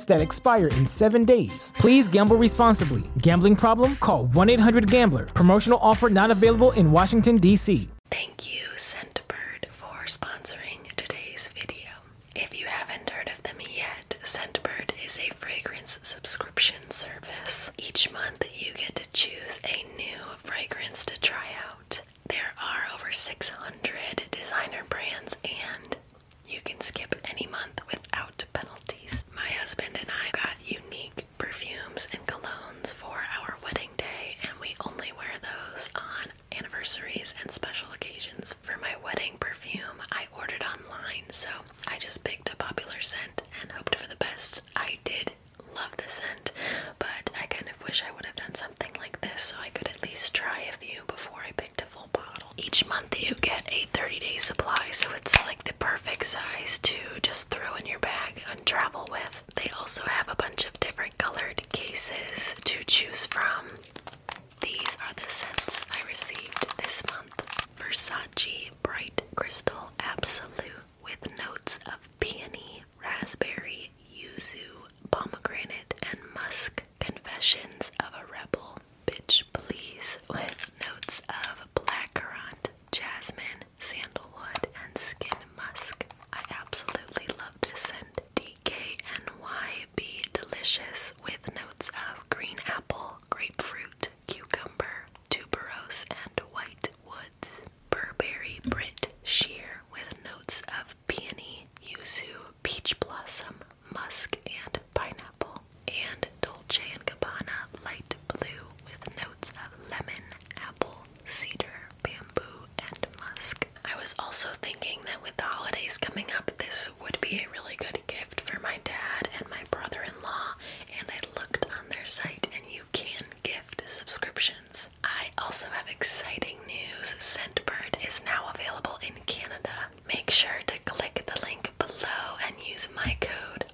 that expire in seven days. Please gamble responsibly. Gambling problem? Call 1 800 Gambler. Promotional offer not available in Washington, D.C. Thank you, Scentbird, for sponsoring today's video. If you haven't heard of them yet, Scentbird is a fragrance subscription service. Each month, you get to choose a new fragrance to try out. There are over 600 designer brands and you can skip any month without penalties. My husband and I got unique perfumes and colognes for our wedding day, and we only wear those on anniversaries and special occasions. For my wedding perfume, I ordered online, so I just picked a popular scent and hoped for the best. I did love the scent, but I kind of wish I would have done something like this so I could at least try a few before I each month you get a 30 day supply, so it's like the perfect size to just throw in your bag and travel with. They also have a bunch of different colored cases to choose from. These are the scents I received this month Versace Bright Crystal Absolute with notes of peony, raspberry, yuzu, pomegranate, and musk. Confessions of a Rebel Bitch Please with notes of blackcurrant, jasmine, sandalwood, and skin musk. I absolutely loved this scent. DKNY Delicious with notes of green apple, grapefruit, cucumber, tuberose, and white woods. Burberry Brit Sheer with notes of peony, yuzu, peach blossom, musk, and pineapple. And Dolce & Gabbana light blue with notes of lemon, apple, cedar, bamboo, and musk. I was also thinking that with the holidays coming up, this would be a really good gift for my dad and my brother-in-law, and I looked on their site and you can gift subscriptions. I also have exciting news. Scentbird is now available in Canada. Make sure to click the link below and use my code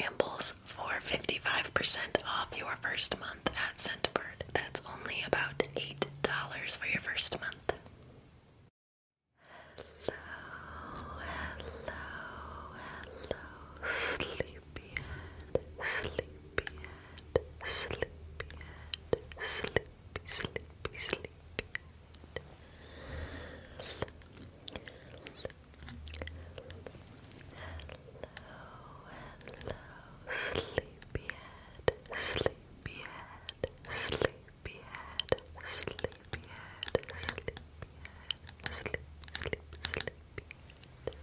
Rambles for 55% off your first month at Scentbird. That's only about $8 for your first month. Hello, hello, hello, sleepyhead, sleepyhead, sleepyhead, sleepyhead sleepy, sleepy, sleepy. Hello, hello, sleepyhead, sleepyhead, sleepyhead, sleepyhead, sleepyhead, sleep, sleep, sleepyhead. Hello,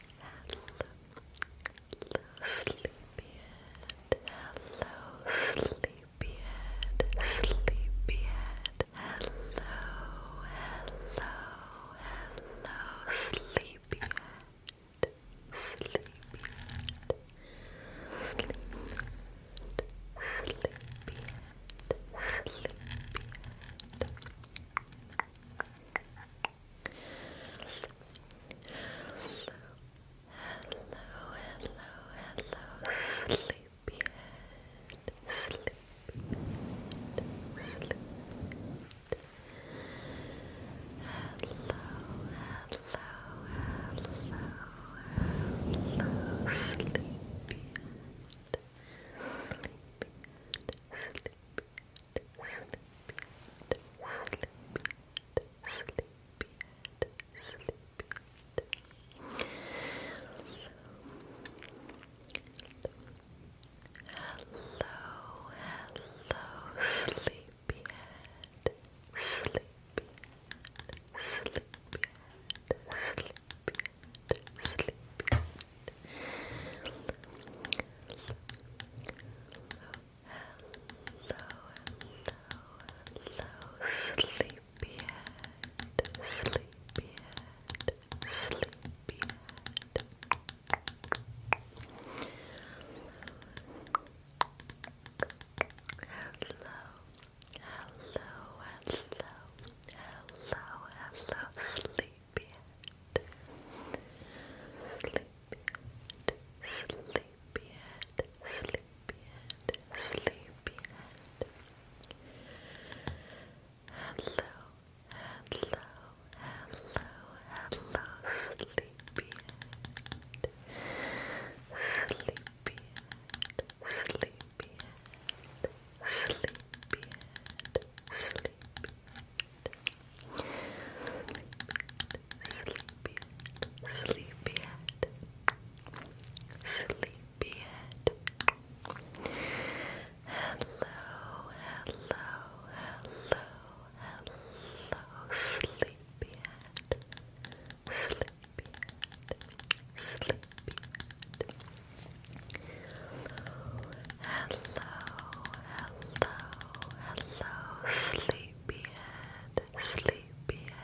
Hello, sleepyhead. Hello, sleepyhead. Sleepyhead. Hello, hello, hello, sleepyhead. Sleepyhead. Sleepyhead. Sleepyhead. Sleepyhead hello, sleepyhead, sleepyhead, sleepyhead. Hello, hello, hello, hello, sleepyhead, sleepyhead, sleepyhead hello, sleepyhead, sleepyhead, sleepyhead, sleepyhead, sleepyhead hello, sleepyhead, sleepyhead, sleepyhead. Hello, hello, hello, hello, hello, sleepyhead. Sleepyhead, Sleepyhead, Sleepyhead, Sleepyhead, Sleepyhead. Hello, hello, hello, hello, Sleepyhead, Sleepyhead, Sleepyhead, Sleepyhead, Sleepyhead sleepyhead, sleepyhead, sleepyhead. Hello, hello, hello, hello, sleepyhead, sleepyhead, sleepyhead hello, hello, sleepyhead, sleepyhead,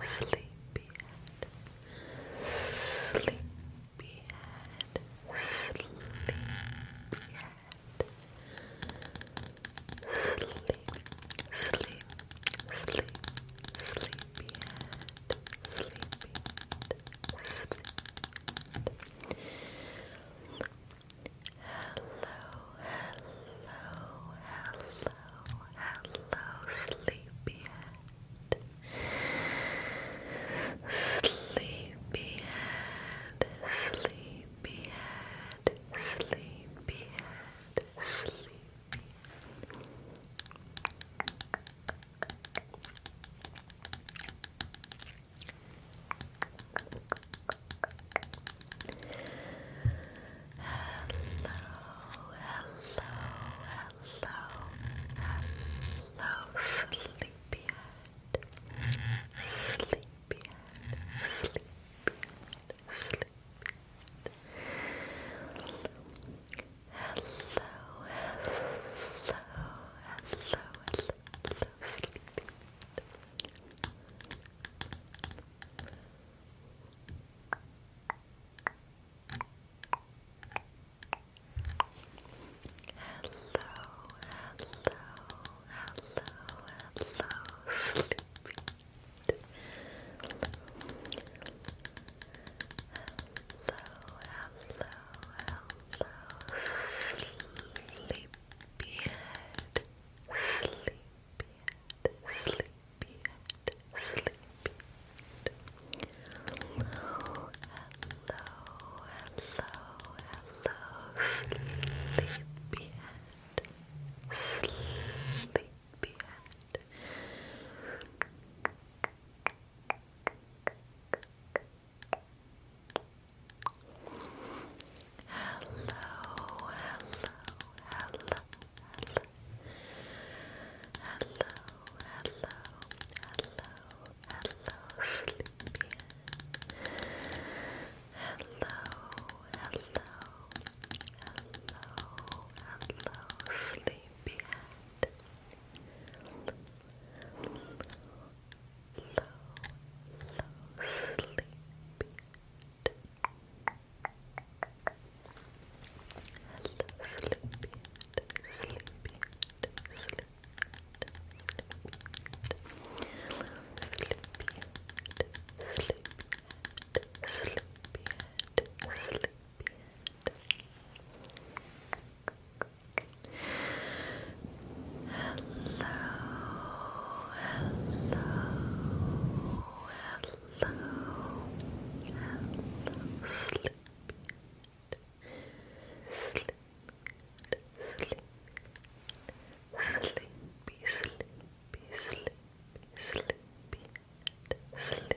sleepyhead, sleepyhead, sleepyhead, sleep, sleep, sleep, sleepyhead, sleepy hello, hello, hello, sleepyhead. Sleepyhead, sleepyhead, sleepyhead, sleepy hello, hello, sleepyhead, sleepyhead, sleepyhead, sleepyhead. Hello, hello, hello, hello, sleepy. Hello, hello, hello, hello, sleepy. Hello, hello, sleepyhead, sleepyhead, sleepyhead, sleepyhead. Hello, hello, hello, sleepyhead, sleepyhead hello, hello, hello. Hello, hello, hello, hello, sleepy. Hello, hello, hello, hello, sleepyhead low, low sleep. Hello, sleepy, sleepy, sleepy, sleepy, sleepy, sleepy, sleepy, sleepy, hello, hello, sleepy, sleepy, sleepy, sleepy, sleepy, sleepy, sleepy, sleepy, sleepy,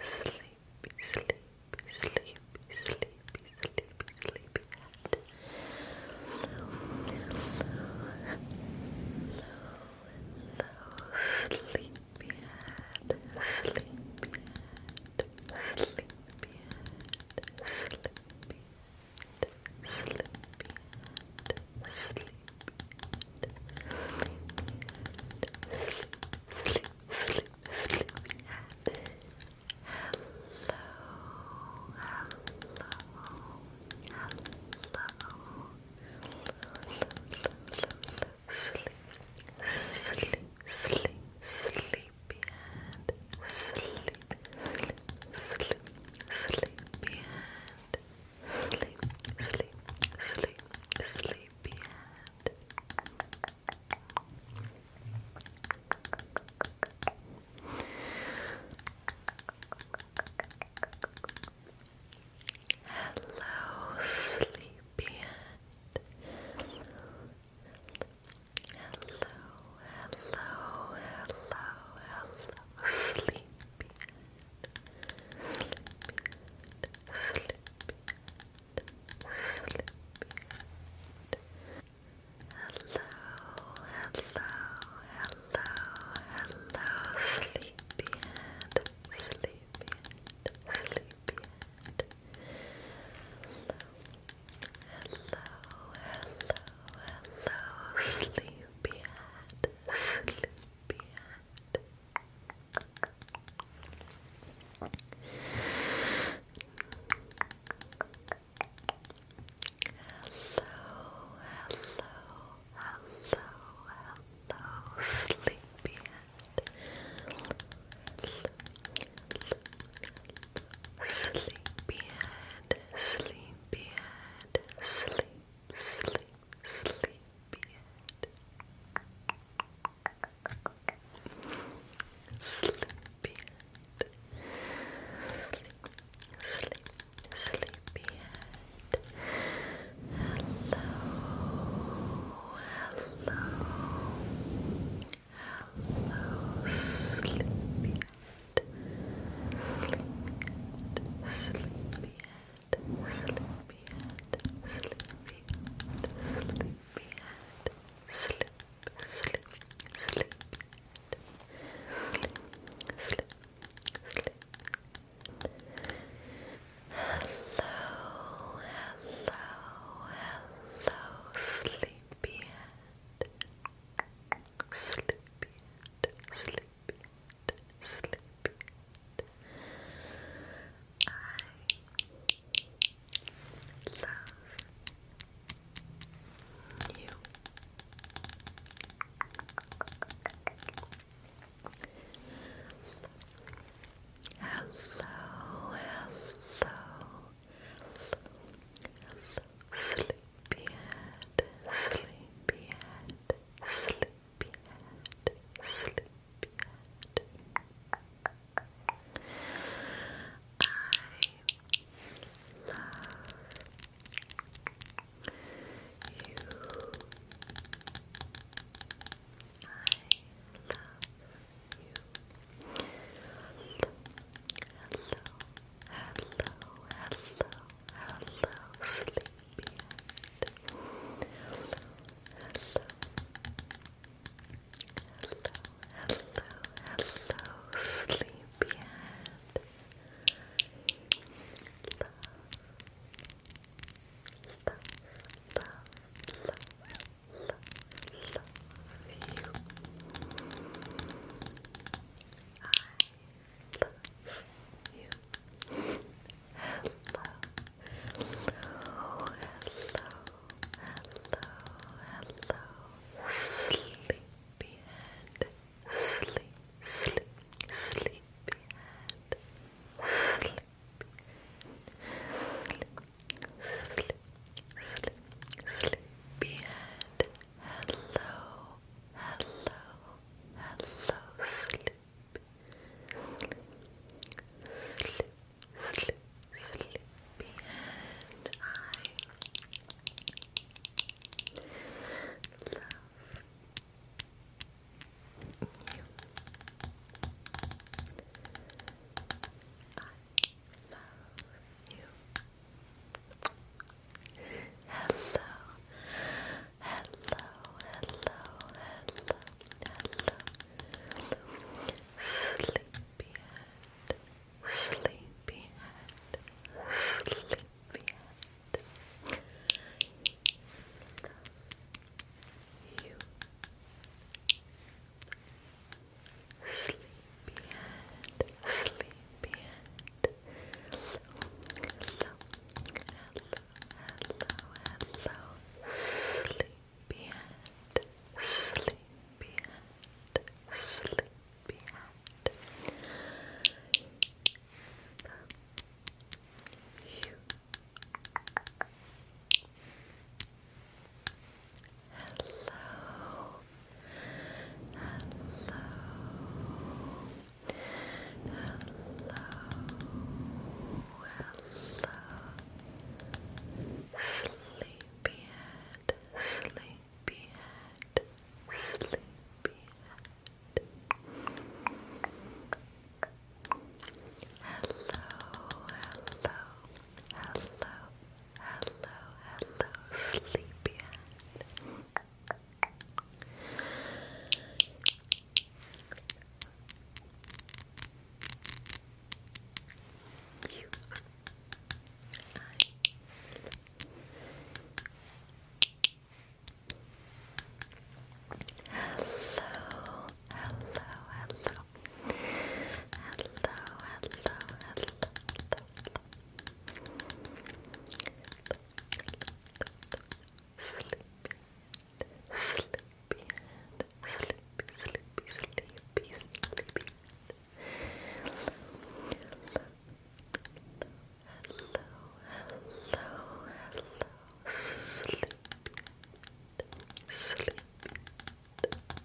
sleepy, sleepy, sleepy, sleepy, sleepy, sleepy head. Low, low, sleepy head, sleepy head, sleepy head, sleepy head, sleepy head, sleepy sleep, sleep, sleep, Hello, hello, hello. Sleep, sleep, sleep, sleepy and sleep, sleep, sleepy and Sleep, sleep, sleep, sleepy head. Hello, sleepyhead. Hello, hello, hello, hello, sleepyhead. Sleepyhead sleepyhead, Hello, hello, hello, hello, sleepyhead, sleepyhead, sleepyhead. Hello, hello, hello, hello, sleepyhead, sleepyhead. Sleepyhead, hello, sleepyhead. Hello, hello, hello, sleepyhead, sleepyhead, sleepyhead sleep, sleepyhead. Sleepyhead. Sleep, sleep, sleepyhead. Hello, hello, hello, Sleepyhead, sleepyhead sleepyhead, sleepyhead, sleepyhead, sleep, sleep, sleep, sleep, sleep, sleep. Hello, hello, hello, sleepyhead, sleepyhead, sleepyhead sleep I love you. Hello, hello, sleepyhead, sleepyhead, sleepyhead. Sleepyhead, Sleepyhead. I love you. I love you. Hello, hello, hello, hello, sleep hello, hello, sleepyhead. Love, love, love, love, love, love you. I love you. Hello, hello, hello, hello, sleepyhead, sleep, sleep, sleepyhead, sleep, sleep, sleep, sleep, sleepyhead, hello, hello, hello, sleep sleep, sleep, sleepyhead. I love you. I love you. Hello, hello, hello, hello. Sleepyhead, sleepyhead, sleepyhead. You sleepyhead, sleepyhead. Hello, hello, hello, sleepyhead, sleepyhead, sleepyhead. Hello, hello, hello, sleepyhead, sleepyhead, sleepyhead. Hello, hello, hello, hello, hello, sleepyhead. You Hello, hello, hello. Hello, hello, hello. Sleepy, sleepy hand, sleepy, sleepy, sleepy, sleepy Hello, hello, hello, sleep, sleep, sleep. love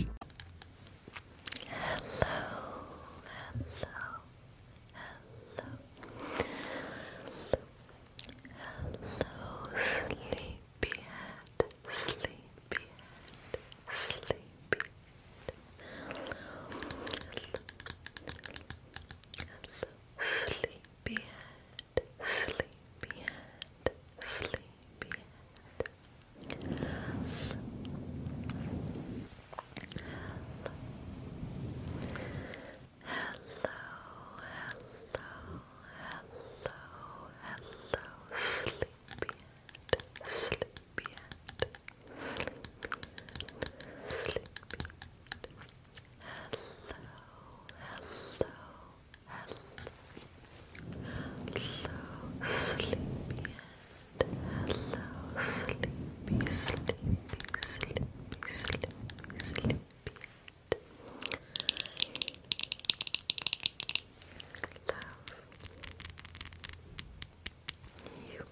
Hello, hello, hello, hello, sleepyhead, sleepyhead, sleepyhead. Hello, sleepyhead, sleepyhead. Sleepyhead, sleepyhead. Yes. Hello, hello, hello, hello, sleepyhead, sleepyhead, sleepyhead, sleepyhead. Hello, hello, hello, sleepy hello, sleepy, sleepy, sleepy, sleepy, sleepy and love you.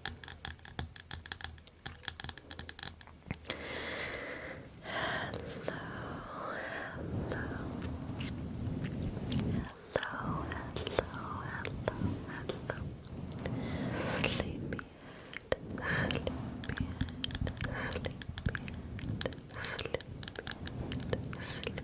Hello, hello, hello, hello. Sleepy head, sleepy sleepy sleepy sleepy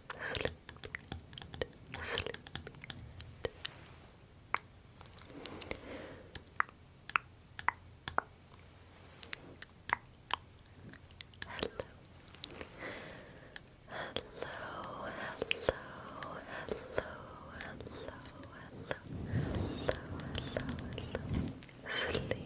sleep, hello, hello, hello, hello, hello, hello, hello. Sleepyhead,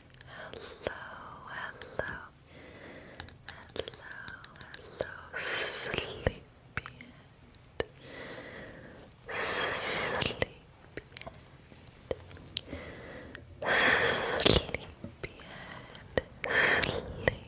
Hello, hello, hello, hello, sleepyhead, sleepyhead, sleepyhead, sleepyhead, sleepyhead, sleepyhead.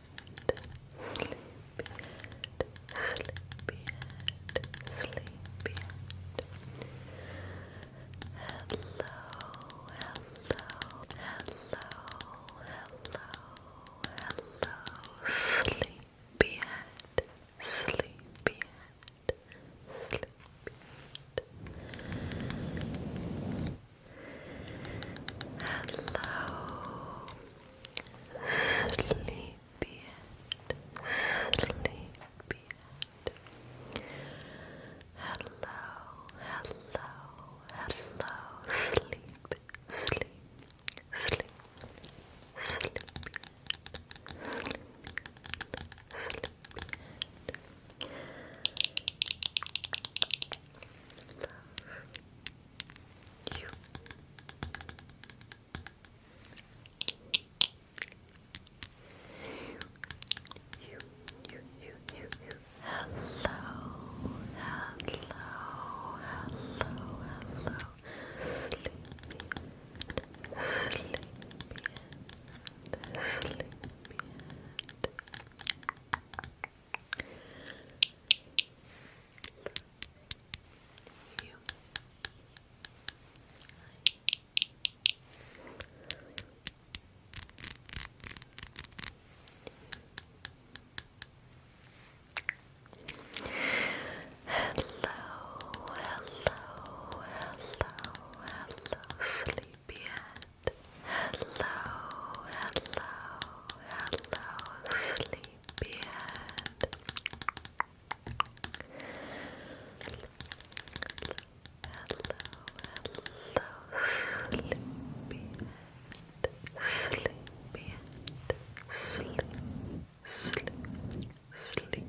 hello, sleepyhead, sleepyhead, sleepyhead. Hello, sleepyhead, Sleepyhead, Sleepyhead. Hello, hello, hello. Sleep, sleep, sleep, sleep, sleep, sleep you. You, Hello, hello, hello, hello. Sleepy, sleepy, sleepy you. Hello, hello, hello, hello, sleepyhead. Hello, hello, hello, sleepyhead beard. Hello, hello, sleepyhead, sleepyhead, sleep, sleep, Love you.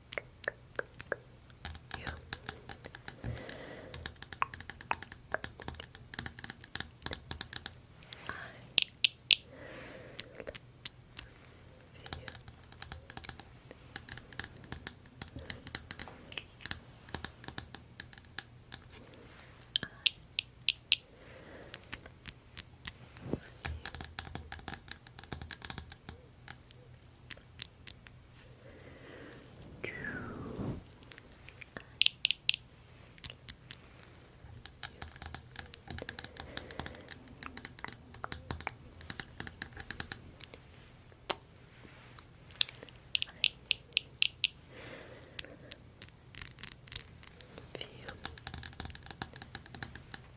you. I I feel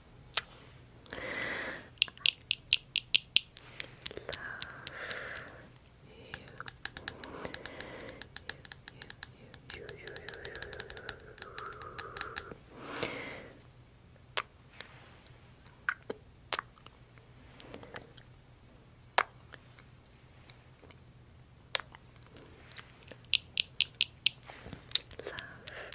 I love you. You, you, you, you, you. Love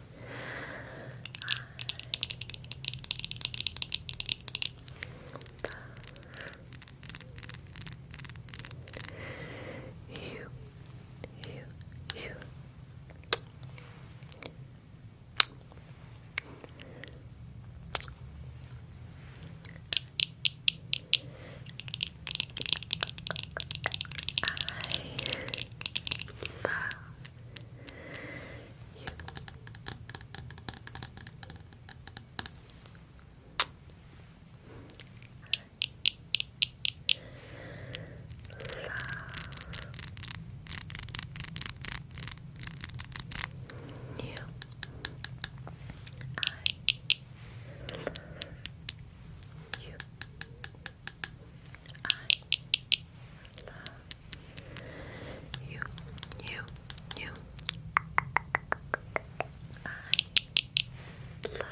you, you, you you. Love you. I love you. I I love you, you, you. I love I love,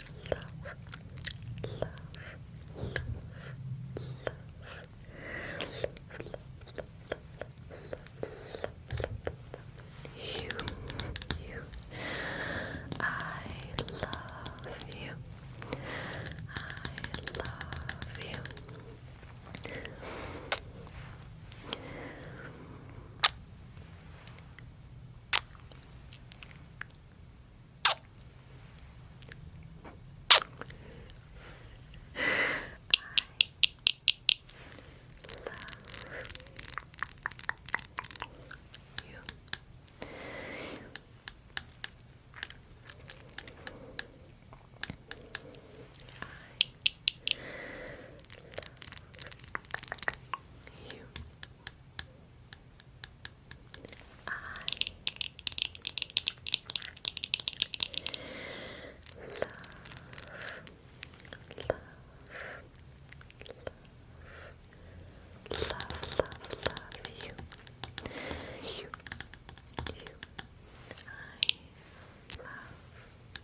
love, love, love, you, I love you. I love you you. I love you you. I love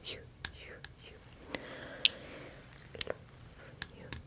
you, you, you. Love you.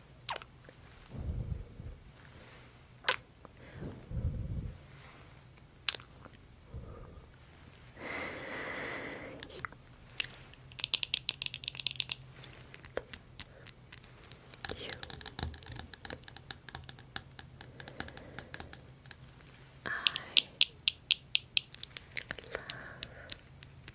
You I love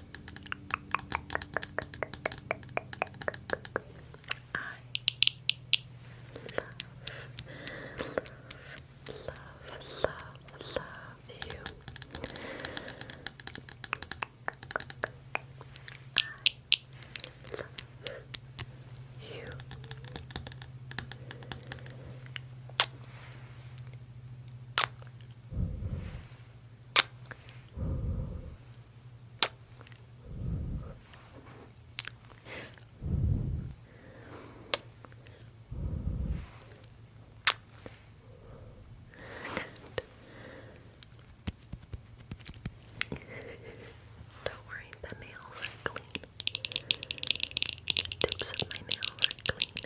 love, love, love you. I love you. Don't worry, the nails are clean. tips of my nails are clean.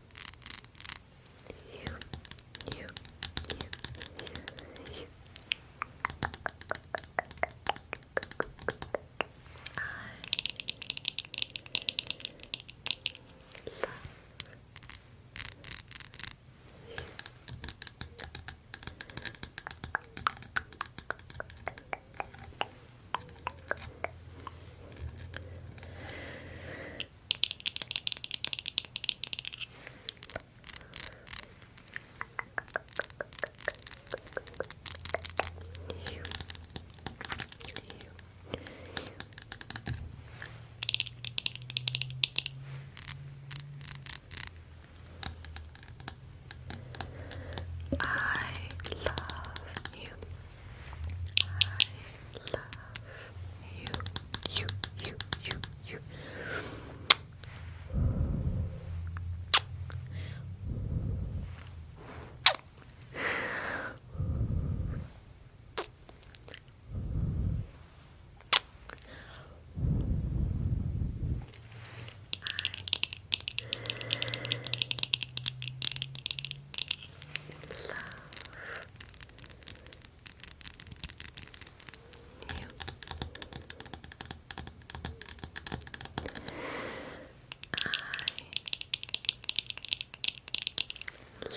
you, you, you, you. I love you. You. I love you. I you, you, you, you, you. I love yeah. I love you.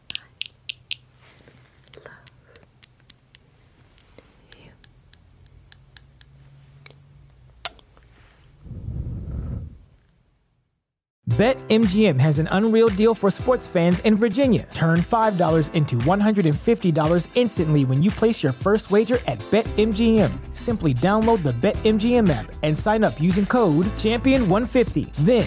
BetMGM has an unreal deal for sports fans in Virginia. Turn $5 into $150 instantly when you place your first wager at BetMGM. Simply download the BetMGM app and sign up using code Champion150. Then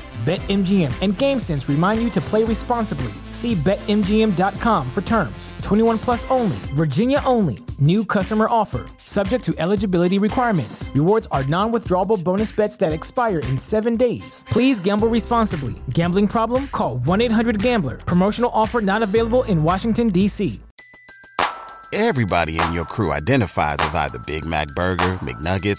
BetMGM and GameSense remind you to play responsibly. See BetMGM.com for terms. 21 plus only, Virginia only. New customer offer, subject to eligibility requirements. Rewards are non withdrawable bonus bets that expire in seven days. Please gamble responsibly. Gambling problem? Call 1 800 Gambler. Promotional offer not available in Washington, D.C. Everybody in your crew identifies as either Big Mac Burger, McNuggets,